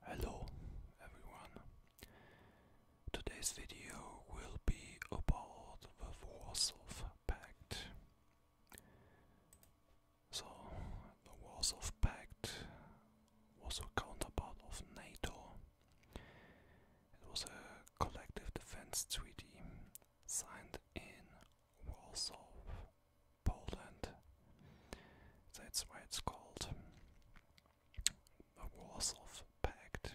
Hello everyone. Today's video will be about the Warsaw Pact. So, the Warsaw Pact was a counterpart of NATO. It was a collective defense treaty signed in Warsaw Poland. That's why it's called the Warsaw Pact.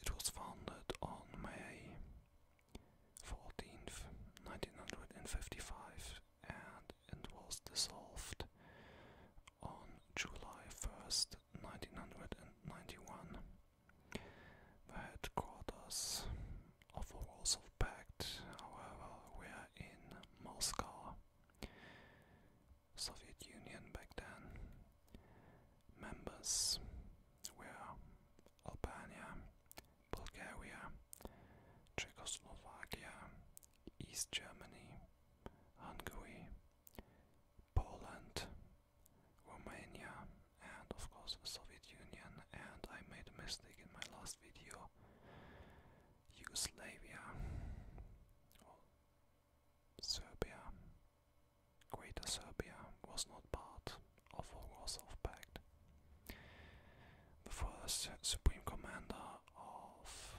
It was founded on May 14th, 1955, and it was dissolved on July 1st, 1991. The headquarters of the Warsaw Pact, however, we are in Moscow, Soviet Union back then. Members were Albania, Bulgaria, Czechoslovakia, East Germany, Hungary, Poland, Romania, and of course the Soviet Union. And I made a mistake in my last video Yugoslavia, Serbia, Greater Serbia was not part of the Warsaw Pact. The first supreme commander of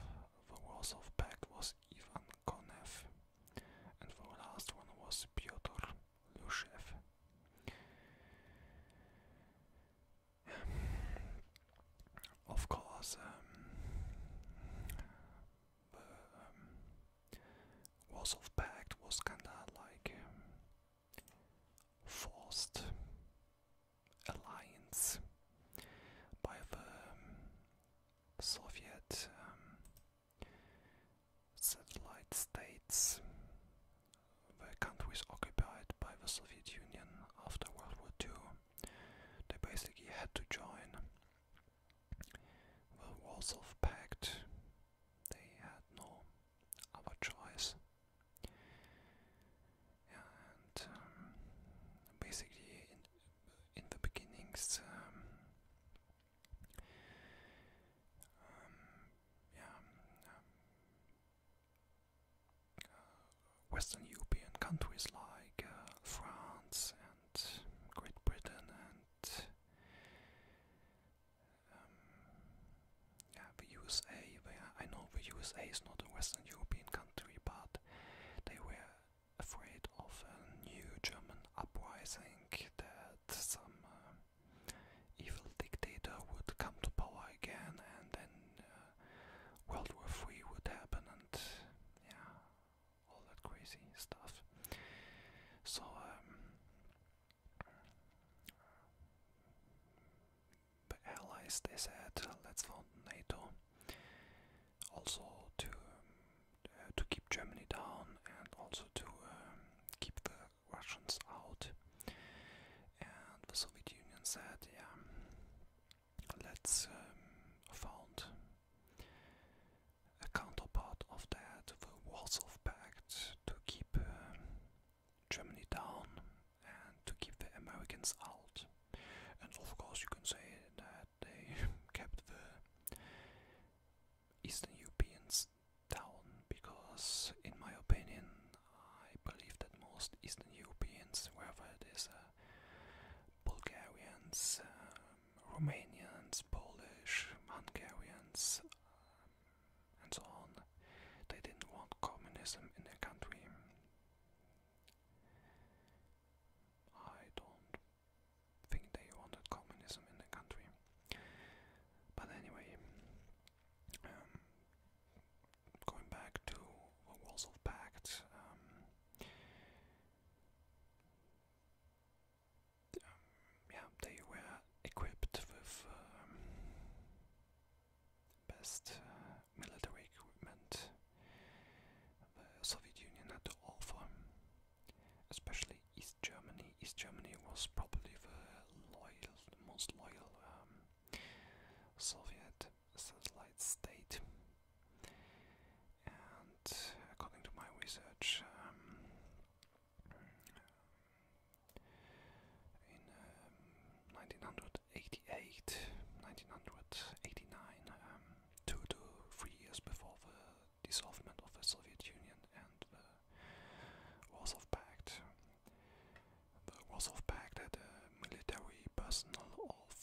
the Warsaw Pact was Ivan Konev, and the last one was Pyotr Lushev of course, um, um, Warsaw Pact was kinda like um, forced alliance by the Soviet satellite states were countries occupied by the Soviet Union after World War II. They basically had to join the Warsaw Pact. They had no other choice. And um, basically, in, the beginnings, um, um, um, uh, Western European countries like uh, France and Great Britain and um, the USA. They I know the USA is not a Western European country, but they were afraid of a new German uprising that some evil dictator would come to power again, and then uh, World War Three would happen, and yeah, all that crazy stuff. So um, the allies they said, let's found NATO, also to uh, to keep Germany down and also to um, keep the Russians out. And the Soviet Union said, yeah, let's um, found a counterpart of that, the Warsaw Pact, to keep um, Germany down and to keep the Americans out. And of course, you can say that they kept the Eastern Europeans down because, in my opinion, I believe that most Eastern Europeans, wherever it is, uh, Bulgarians, um, Romanians, Polish, Hungarians, um, and so on, they didn't want communism in their country. I don't think they wanted communism in the country. But anyway, um, going back to Warsaw Pact, um, um, yeah, they were equipped with um, best uh, military equipment the Soviet Union had to offer especially East Germany. East Germany was probably the most loyal um, Soviet satellite state. And according to my research, um, in um, 1988, 1989, um, two to three years before the dissolvement of the Soviet Union and the Warsaw Pact. The Warsaw Pact had a military personnel of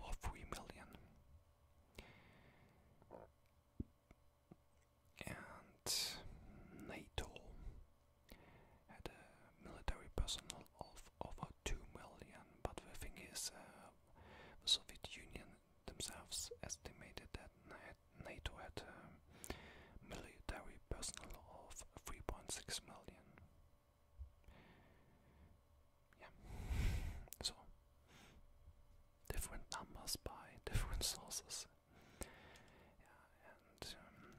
over 3 million. And NATO had a military personnel of over 2 million, but the thing is, uh, the Soviet Union themselves estimated that NATO had a uh, military personnel of 3.6 million. Yeah, so different numbers by different sources. and um,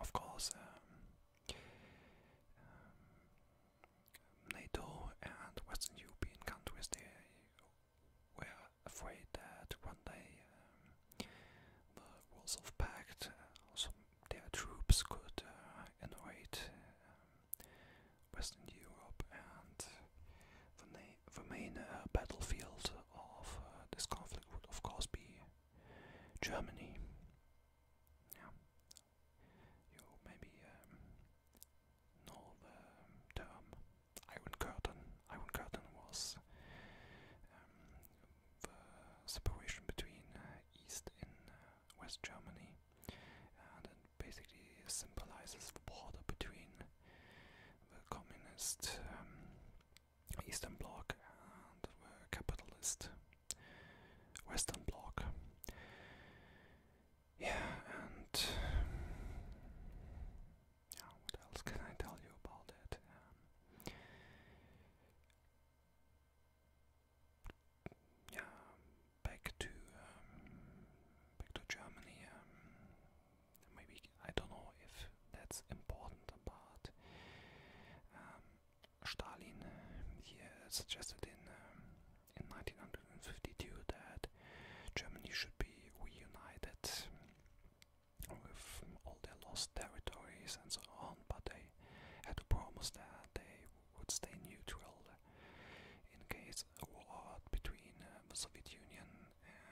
of course, um, um, NATO and Western European countries were afraid that one day um, the Warsaw Pact, uh, also their troops could uh, um, Western Europe, and the, main uh, battlefield of uh, this conflict would, of course, be Germany you maybe um, know the term Iron Curtain. Iron Curtain was um, the separation between uh, East and uh, West Germany, and basically symbolizes the border between the communist um, Eastern Bloc and the capitalist Western Bloc. Yeah, and yeah, what else can I tell you about it? Um, yeah, back to um, back to Germany. Um, maybe I don't know if that's important, but Stalin, uh, suggested in uh, in 1952 that Germany should be reunited with all their lost territories and so on, but they had to promise that they would stay neutral in case a war between uh, the Soviet Union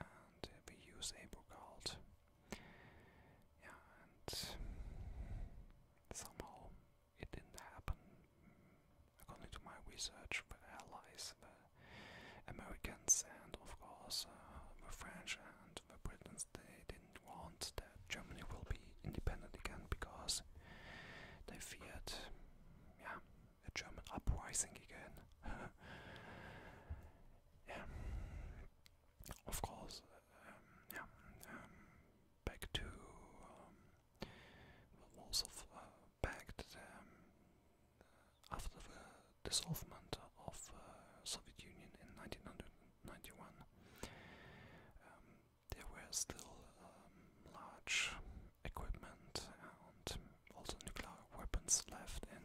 and the USA broke out. Yeah, and somehow it didn't happen. According to my research, the Allies, the Americans, and of course uh, the French and the Britons, they didn't want that Germany will be independent again because they feared, yeah, a German uprising again. yeah. Of course, um, um, yeah, um, back to um, uh, after the dissolution of uh, Soviet Union in 1991, there were still large equipment and also nuclear weapons left in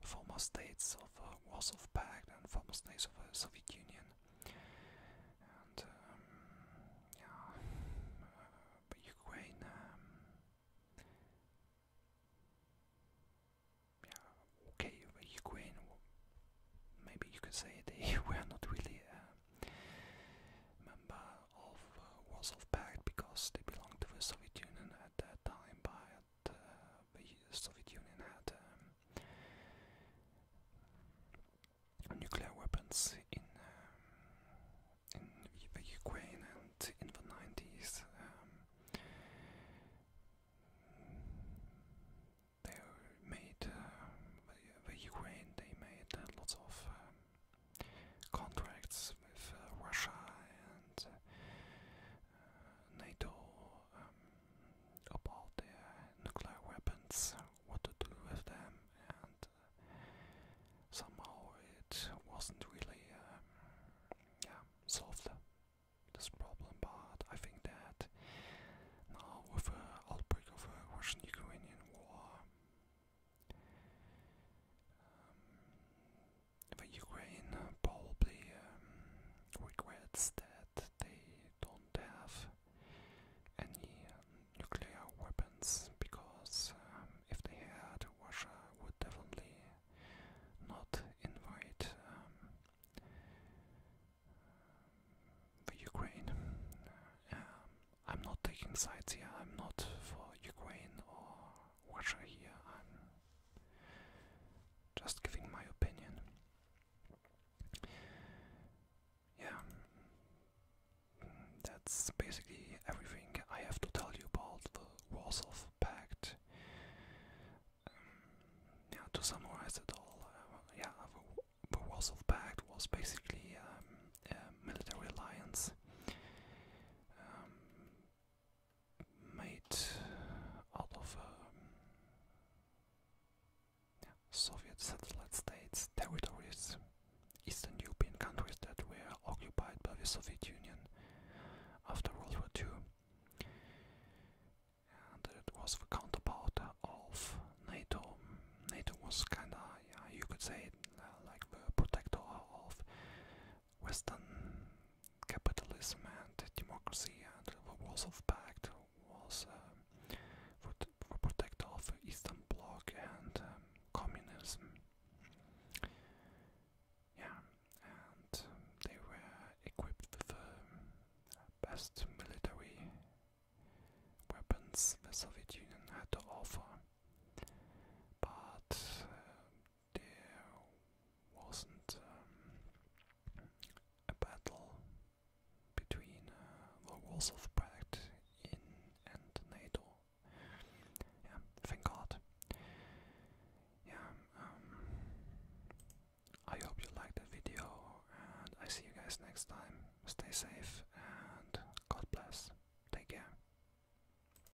former states of uh, Warsaw Pact and former states of the Soviet Union. And um, yeah, uh, Ukraine, um, yeah, okay, Ukraine, maybe you could say they were not really a member of uh, Warsaw Pact because they belonged to the Soviet Union at that time, uh, the Soviet Union had um, nuclear weapons in um, in Ukraine and in the 90s. Um, they made uh, the, Ukraine. They made uh, lots of contracts with Russia and NATO about the nuclear weapons, what to do with them, and uh, somehow it wasn't really uh, yeah, solved this problem. But I think that now, with the outbreak of the Russian Ukrainian war, um, the Ukraine probably um, regrets that they don't have any um, nuclear weapons because um, if they had, Russia would definitely not invite um, the Ukraine. I'm not taking sides here. I'm not for Ukraine or Russia here. Just giving my opinion. Yeah, that's basically everything I have to tell you about the Warsaw Pact. Um, yeah, to summarize it all, uh, yeah, the, Warsaw Pact was basically um, a military alliance um, made out of um, Soviet satellite states, territories, Eastern European countries that were occupied by the Soviet Union after World War II. And it was the counterpart of NATO. NATO was kinda, yeah, you could say, uh, like the protector of Western capitalism and democracy and the Warsaw Pact was uh, protect of Eastern Bloc and um, communism. Yeah, and they were equipped with the uh, best military weapons the Soviet Union had to offer, but uh, there wasn't um, a battle between uh, the Warsaw Pact in and NATO. thank God. Yeah, um, I hope you liked that video, and I see you guys next time. Stay safe and God bless. Take care.